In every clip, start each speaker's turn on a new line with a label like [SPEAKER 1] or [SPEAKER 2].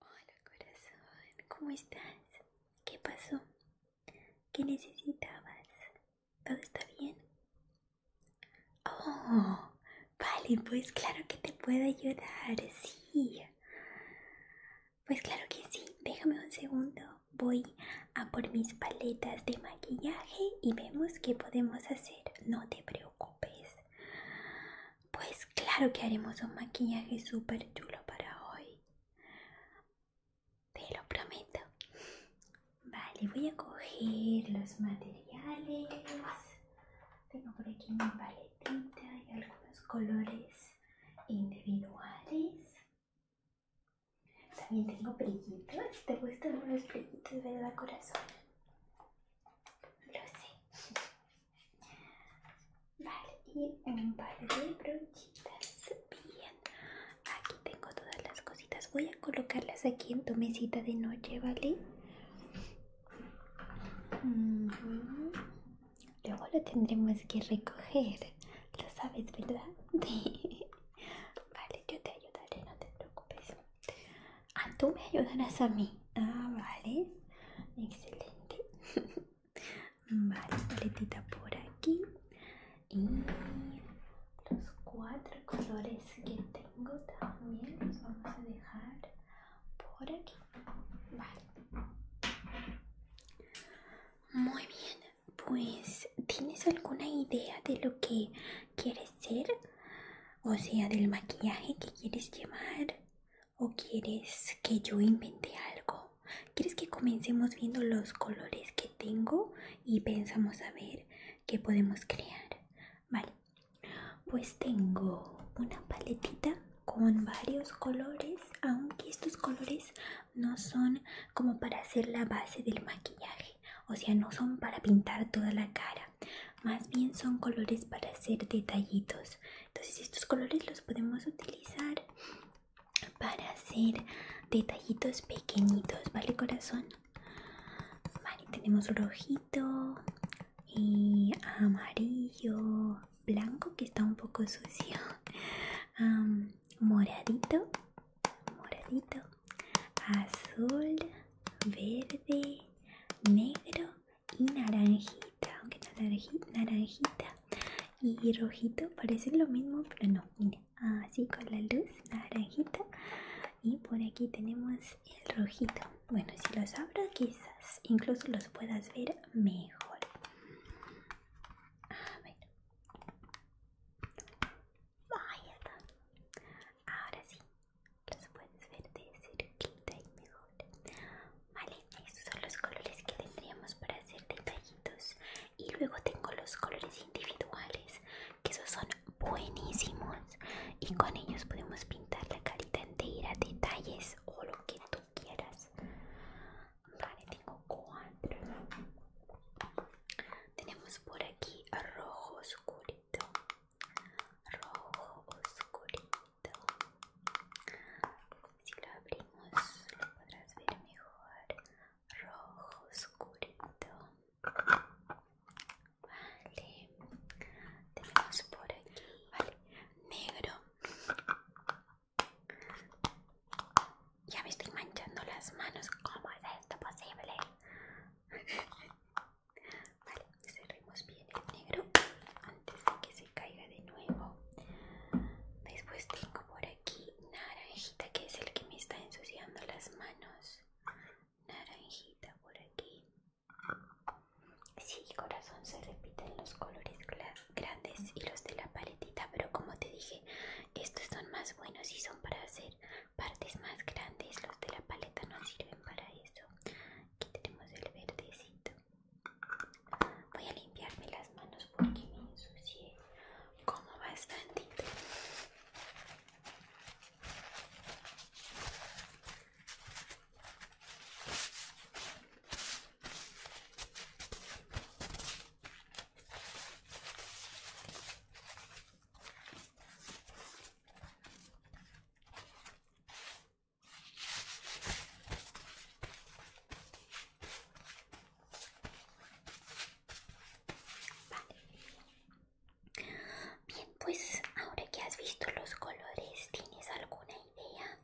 [SPEAKER 1] Hola corazón, ¿cómo estás? ¿Qué pasó? ¿Qué necesitabas? ¿Todo está bien? Oh, vale, pues claro que te puedo ayudar, sí. Pues claro que sí, déjame un segundo. Voy a por mis paletas de maquillaje y vemos qué podemos hacer. No te preocupes. Pues claro que haremos un maquillaje super chulo para hoy. Te lo prometo. Vale, voy a coger los materiales. Tengo por aquí mi paletita y algunos colores individuales. También tengo brillitos. ¿Te gustan los brillitos, verdad, corazón? Lo sé. Vale, y un par de brochitas. Bien, aquí tengo todas las cositas. Voy a colocarlas aquí en tu mesita de noche, ¿vale? Luego lo tendremos que recoger. Lo sabes, ¿verdad? vale, yo te ayudaré, no te preocupes. A ah, tú me ayudarás a mí. Ah, vale. Excelente. vale, paletita por aquí. Y los cuatro colores que tengo también los vamos a dejar por aquí. Vale. Muy bien. Pues, ¿tienes alguna idea de lo que quieres ser? O sea, del maquillaje que quieres llevar. ¿O quieres que yo invente algo? ¿Quieres que comencemos viendo los colores que tengo y pensamos a ver qué podemos crear? Vale, pues tengo una paletita con varios colores, aunque estos colores no son como para hacer la base del maquillaje, o sea, no son para pintar toda la cara, más bien son colores para hacer detallitos entonces estos colores los podemos utilizar para hacer detallitos pequeñitos vale corazón vale tenemos rojito y eh, amarillo blanco que está un poco sucio moradito moradito azul verde negro y naranjita, aunque naranjita, naranjita y rojito parece lo mismo, pero no, mira, así con la luz naranjita y por aquí tenemos el rojito. Bueno, si los abro quizás incluso los puedas ver mejor. Ah, A ver. Ahora sí, los puedes ver de cerquita y mejor vale estos son los colores que tendríamos para hacer detallitos y luego tengo los colores individuales que esos son buenísimos y con ellos podemos pintar la carita entera detalles o lo que tú quieras vale tengo cuatro tenemos por aquí rojo oscuro rojo oscurito si lo abrimos lo podrás ver mejor rojo oscurito vale tenemos por aquí negro ya me estoy manchando las manos cómo es esto posible Vale, cerremos bien el negro antes de que se caiga de nuevo. Después tengo por aquí naranjita, que es el que me está ensuciando las manos. Naranjita por aquí. Sí, corazón, se repiten los colores grandes y los de la paletita, pero como te dije, estos son más buenos y son para hacer partes más grandes los de la paleta no sirven para eso aquí tenemos el verdecito voy a limpiarme las manos porque me ensucié como bastante Bien, pues ahora que has visto los colores, ¿tienes alguna idea?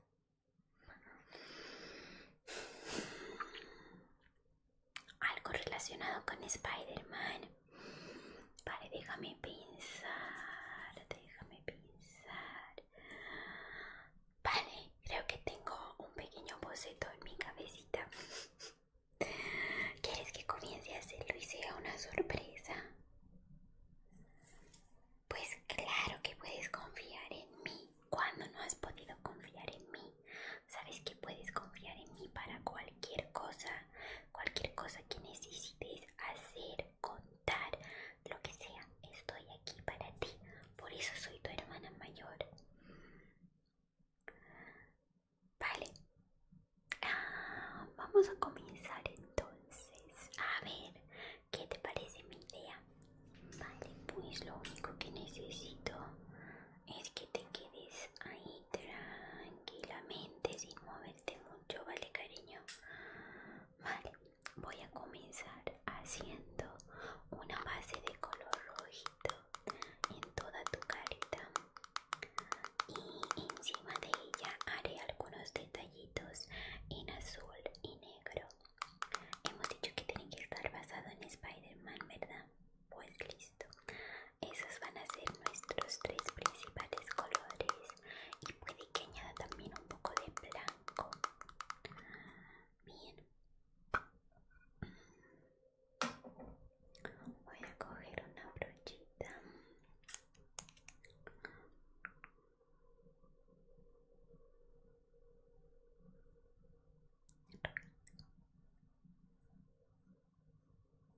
[SPEAKER 1] Algo relacionado con Spider-Man. Vale, déjame pensar, déjame pensar. Vale, creo que tengo un pequeño boceto en mi cabecita. ¿Quieres que comience a hacerlo y sea una sorpresa? Pues claro que puedes confiar en mí. Cuando no has podido confiar en mí, sabes que puedes confiar en mí para cuál? cualquier cosa, cualquier cosa que necesites hacer, contar, lo que sea, estoy aquí para ti. Por eso soy tu hermana mayor. Vale. Ah, vamos a comenzar entonces. A ver, ¿qué te parece mi idea? Vale, pues lo único que necesito es que te quedes ahí tranquilamente sin moverte mucho, ¿vale, cariño? Vale, voy a comenzar haciendo una base de color rojito en toda tu carita y encima de ella haré algunos detallitos en azul y negro. Hemos dicho que tiene que estar basado en Spider-Man, ¿verdad? Pues listo. Esos van a ser nuestros tres principales colores. Y puede que añada también un poco de blanco. Bien. Voy a coger una brochita.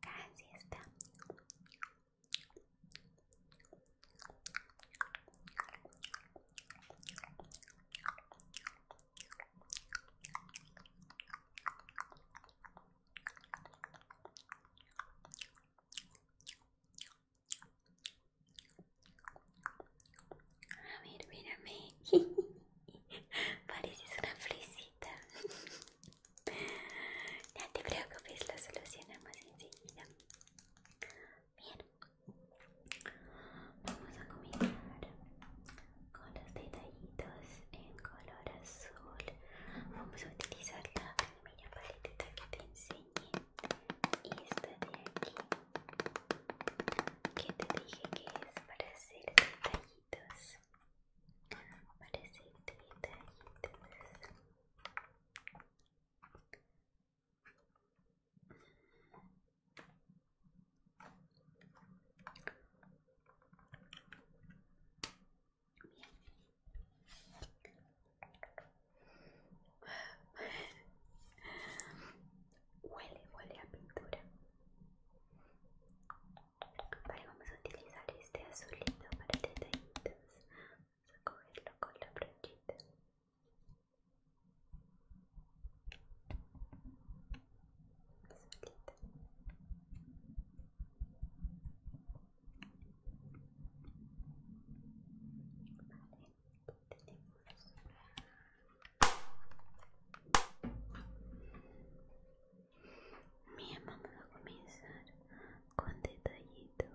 [SPEAKER 1] Casi está. A ver, mírame. Pareces una flesia. Ya que te preocupes, la solucionamos enseguida. Bien, vamos a comenzar con los detallitos en color azul. Vamos a utilizar la primera paletita que te enseñé, esta de aquí, que te dije que es para hacer detallitos que te quita y te Huele, huele a pintura. Vale, vamos a utilizar este azulito para detallitos. Vamos a cogerlo con la brochita. Azulito. Vale, Bien, vamos a comenzar con detallitos.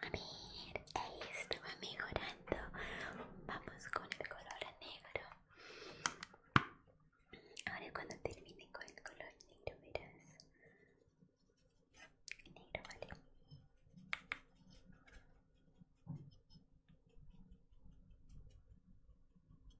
[SPEAKER 1] A ver, esto va mejorando. Vamos con el color negro. Ahora cuando termine con el color negro, verás. Negro, vale.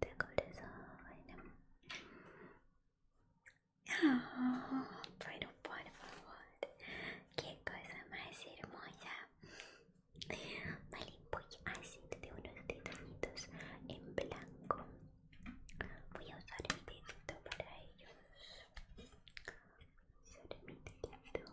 [SPEAKER 1] 되고 그래서 왜냐면 아, não pode, por favor. Que coisa mais hermosa. Vale, voy a hacer de unos detallitos en blanco. Voy a usar el dedito para ellos. usar mi dedito.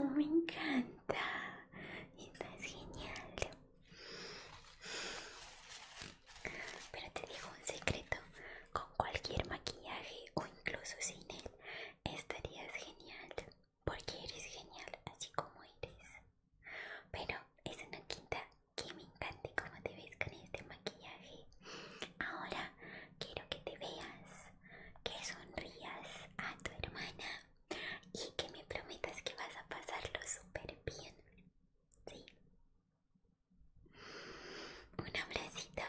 [SPEAKER 1] Oh, me encanta. Estás genial. Pero te digo un secreto. Con cualquier maquillaje o incluso sin él, estarías genial. Porque eres genial así como eres. Pero es una quinta que me encanta cómo te ves con este maquillaje. Ahora quiero que te veas, que sonrías a tu hermana y que me prometas que vas a pasarlo súper bien. ¿Sí? Un abracito.